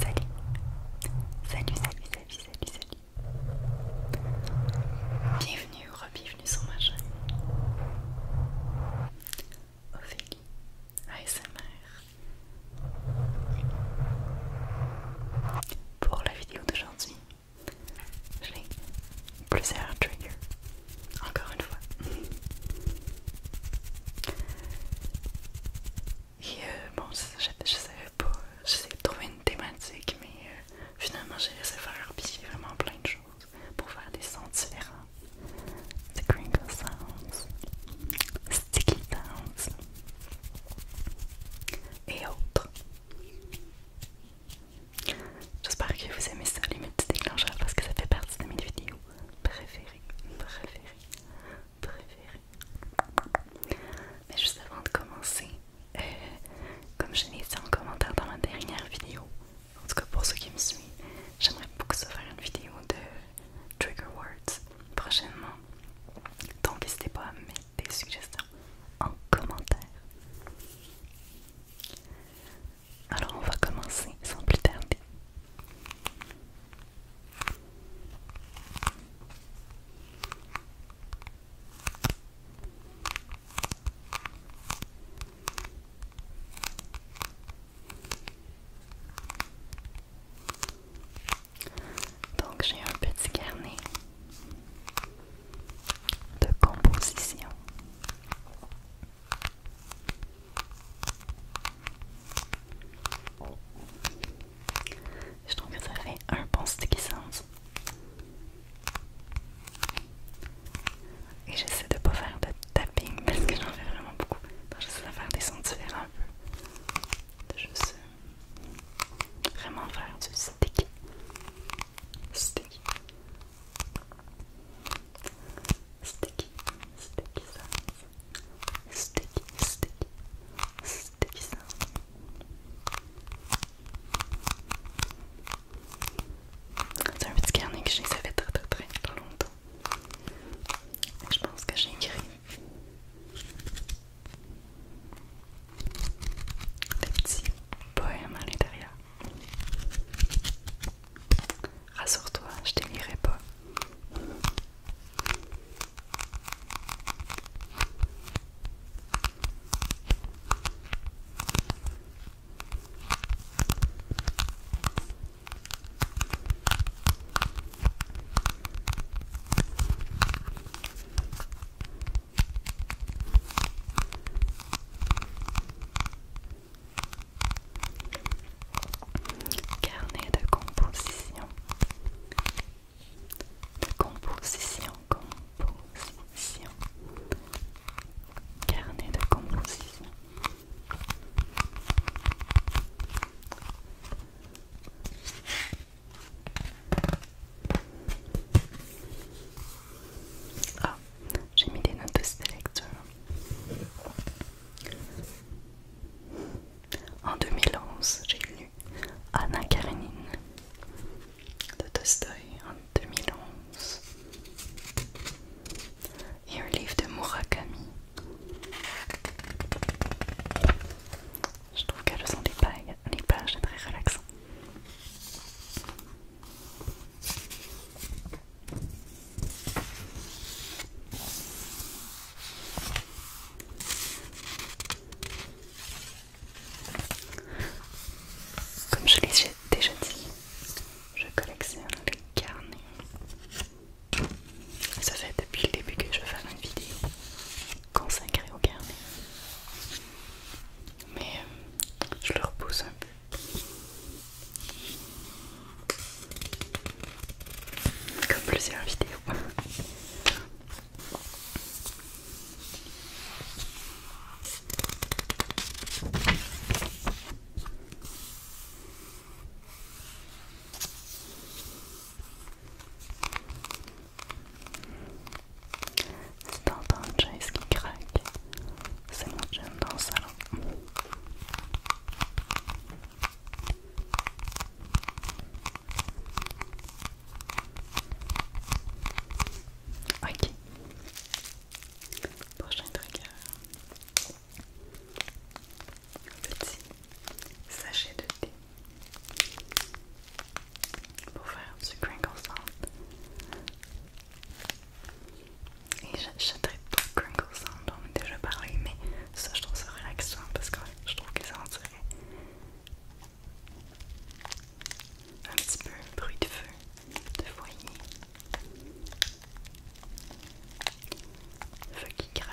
Salut Salut, salut, salut, salut, salut Bienvenue ou re-bienvenue sur ma chaîne Ophélie ASMR Pour la vidéo d'aujourd'hui, j'ai plusieurs triggers encore une fois. Euh, bon, je, savais pas, j'essayais de trouver une thématique, mais euh, finalement j'ai laissé faire, vraiment plein de choses pour faire des sons différents. The crinkle sounds, sticky sounds et autres. J'espère que vous aimez ça, les petits déclencheurs, parce que ça fait partie de mes vidéos préféré, préféré, préféré. Mais juste avant de commencer, euh, comme je l'ai dit en commentaire dans la dernière vidéo, en tout cas pour ceux qui me suivent, j'aimerais beaucoup se faire une vidéo de trigger words prochainement. Donc n'hésitez pas à mettre des suggestions en commentaire. Alors on va commencer sans plus tarder. Donc j'ai un petit carnet de composition je trouve que ça fait un bon sticky sound. Et j'essaie de ne pas faire de tapping parce que j'en fais vraiment beaucoup. J'essaie de faire des sons différents un peu. Je juste euh, vraiment faire du sticky. Sticky sticky, sticky sounds, sticky, sticky, sticky C'est un petit carnet que j'ai très très longtemps. je pense que j'ai écrit à l'intérieur. Rassure-toi, je lirai pas. Carnet de composition. De composition, composition. Carnet de composition. Ah, j'ai mis des notes de lecture. En 2011, j'ai lu Anna Karenine de Tostoy en 2011 et un livre de Murakami. Je trouve qu'elles sont des pages, très relaxantes comme je l'ai déjà dit, je collectionne les carnets. Ça fait depuis le début que je fais une vidéo consacrée aux carnets. Mais euh, je le repousse un peu comme plusieurs vidéos. Si t'entends Jace qui craque, c'est mon jeune dans le salon. Ok. Prochain trigger. Un petit sachet de thé pour faire du crinkle sound. Et j'aimerais pas Crinkle Sound, on a déjà parlé, mais ça je trouve ça relaxant parce que je trouve que ça en dirait un petit peu bruit de feu, de foyer, feu qui craque.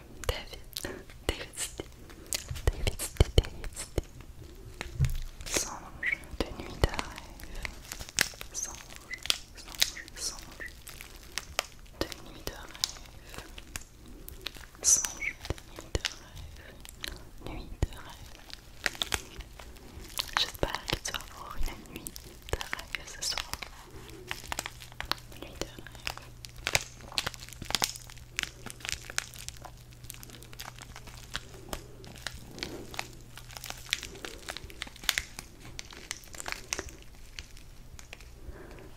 David, David David, David David Songe de nuit rêve songe, songe, songe de nuit de rêve, songe de nuit de rêve, nuit de rêve. J'espère que tu avoir une nuit de ce soir. Nuit de rêve.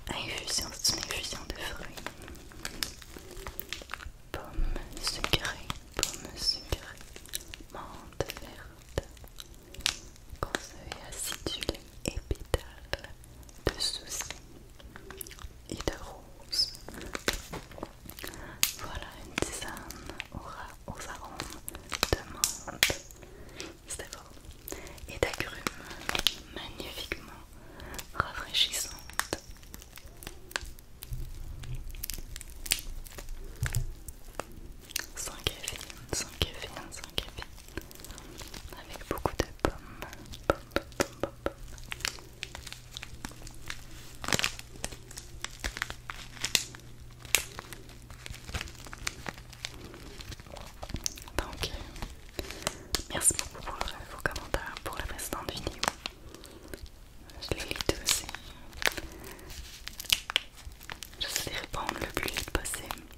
Infusion, c'est une infusion de fruits. Pomme sucrée, pomme sucrées, menthe verte, conseil acidulé et pétale de souci, et de rose. Voilà une tisane aux, arômes de menthe, c'est bon, et d'agrumes magnifiquement rafraîchissantes. Sans café, sans café, sans café avec beaucoup de pommes. Donc, merci beaucoup pour vos commentaires pour la précédente vidéo. Je les lis tous Je Je vais répondre le plus vite possible.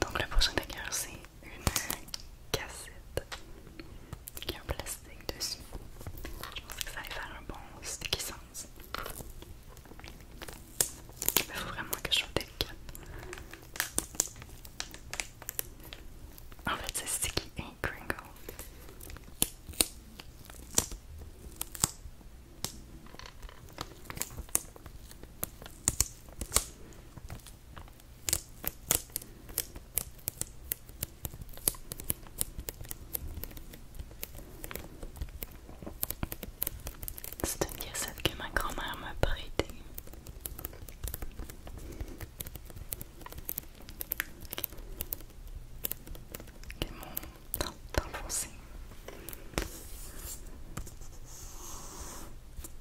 Donc le prochain décor c'est une cassette qui est en plastique dessus. Je pense que ça allait faire un bon sticky sense. Il faut vraiment que je sois délicate. En fait, c'est sticky and crinkle. C'est une cassette que ma grand-mère m'a prêtée. Ils m'ont enfoncé.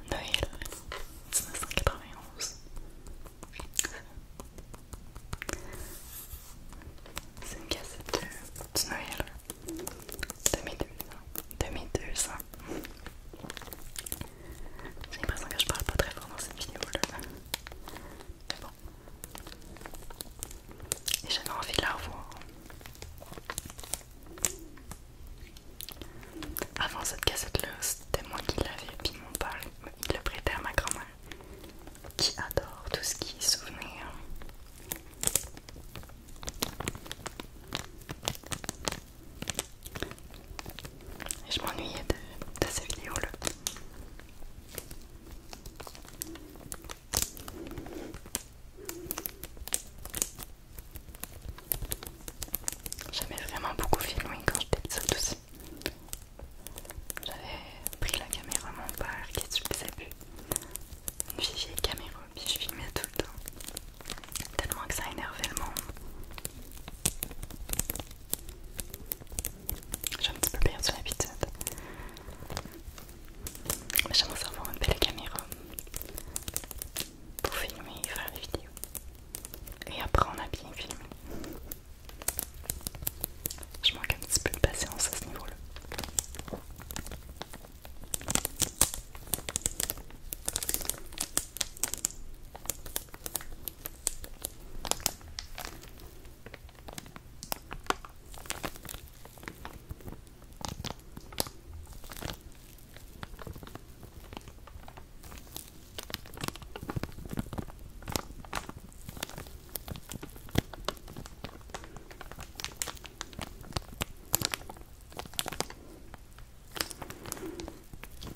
Noël 1991. C'est une cassette de, Noël 2002. 2200. J'ai l'impression que je parle pas très fort dans cette vidéo là. Mais bon. Et j'avais envie de la revoir. Avant cette cassette là, c'était moi qui l'avais, puis mon père il le prêtait à ma grand-mère qui adore tout ce qui est souvenir. Et je m'ennuyais de, ces vidéos-là. J'aimais vraiment beaucoup filmer quand j'étais ça aussi. J'avais pris la caméra à mon père qui est j'ai les Une vieille caméra, puis je filmais tout le temps. Tellement que ça énervait le monde. J'ai un petit peu perdu l'habitude. Mais j'aimerais avoir une belle caméra pour filmer et faire des vidéos. Et après, on a bien filmé. Je manque un petit peu de patience à ce niveau-là.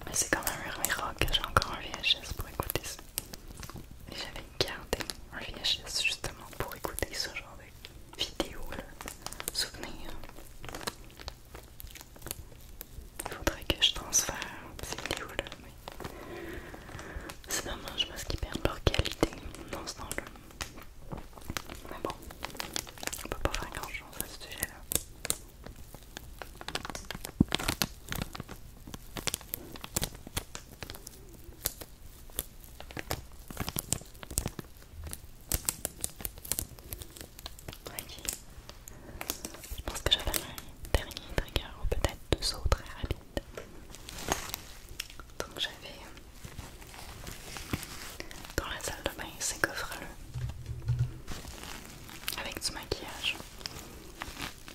Mais c'est quand même un j'ai encore un VHS pour écouter ça. j'avais gardé un VHS justement pour écouter ce genre de vidéo il faudrait que je transfère. ces vidéos là, mais C'est dommage parce qu'ils perdent leur qualité dans ce temps-là. Mais bon, on peut pas faire grand chose à ce sujet-là. Ok. Je pense que j'avais un dernier trigger ou peut-être deux autres très rapides. Donc j'avais dans la salle de bain ces coffres avec du maquillage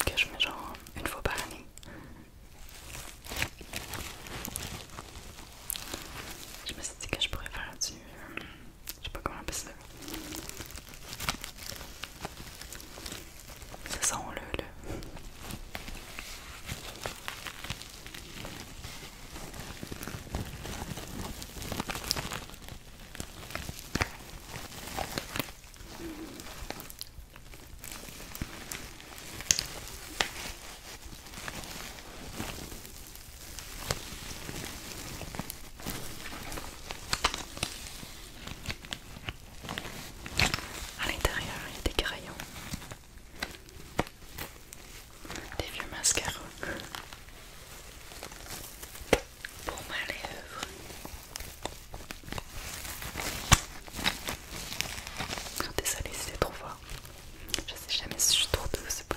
que je mets genre une fois par année. Je me suis dit que je pourrais faire du je sais pas comment on appelle ça. ça, on le à l'intérieur, il y a des crayons, des vieux mascaras pour ma lèvre. Oh, désolée si c'est trop fort. Je sais jamais si je suis trop douce ou pas.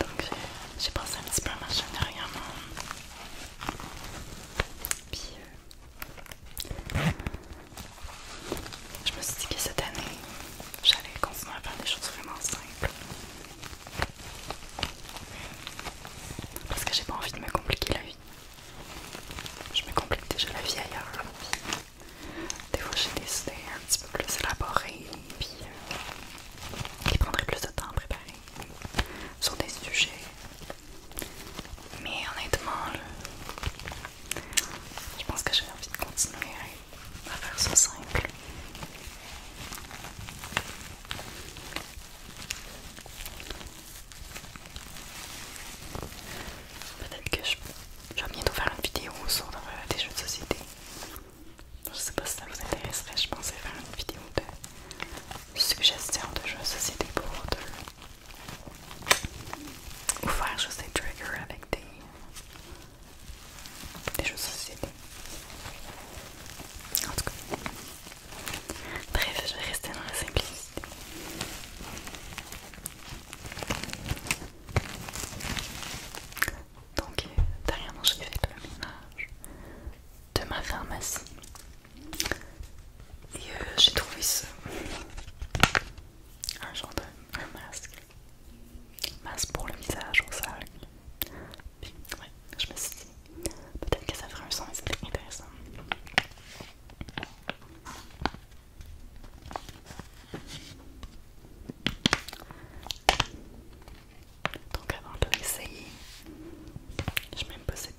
Donc j'ai pensé un petit peu à ma derrière mon pied je me suis dit que cette année, j'allais continuer à faire des choses vraiment simples. Parce que j'ai pas envie de me compliquer la vie. Je me complique déjà la vie ailleurs. Des fois, j'ai des idées un petit peu plus élaborées, puis euh, qui prendraient plus de temps à préparer sur des sujets. Mais honnêtement, je pense que j'ai envie de continuer à faire ça simple. Peut-être que je, vais bientôt faire une vidéo sur euh, des jeux de société. Je ne sais pas si ça vous intéresserait, je pensais faire une vidéo de suggestions de jeux de société pour deux. Ou faire juste des triggers avec des et je de En tout cas, bref, je vais rester dans la simplicité. Donc, dernièrement, j'ai fait le ménage de ma pharmacie et euh, j'ai trouvé ça un genre de masque Masse pour le visage au sol. ouais, je me suis dit, peut-être que ça fera un son intéressant. Donc avant de l'essayer, je ne même pas cette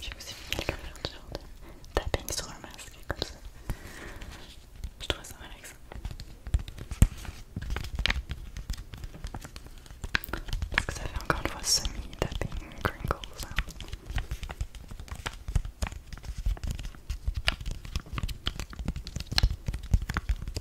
j'ai aussi mis quelques de genre de tapping sur un masque comme ça. Je trouve ça mal avec ça, Parce que ça fait encore une fois semi-tapping crinkle sound. Hein.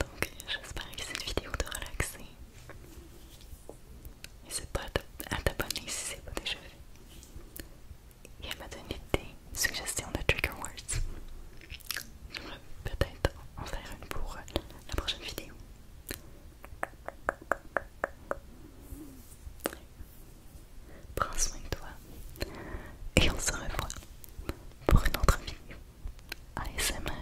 Donc j'espère que cette vidéo relaxe et c'est pas à t'abonner si c'est pas déjà fait et elle m'a donné des suggestions de trigger words. peut-être en faire une pour la prochaine vidéo. Prends soin de toi et on se revoit pour une autre vidéo. ASMR.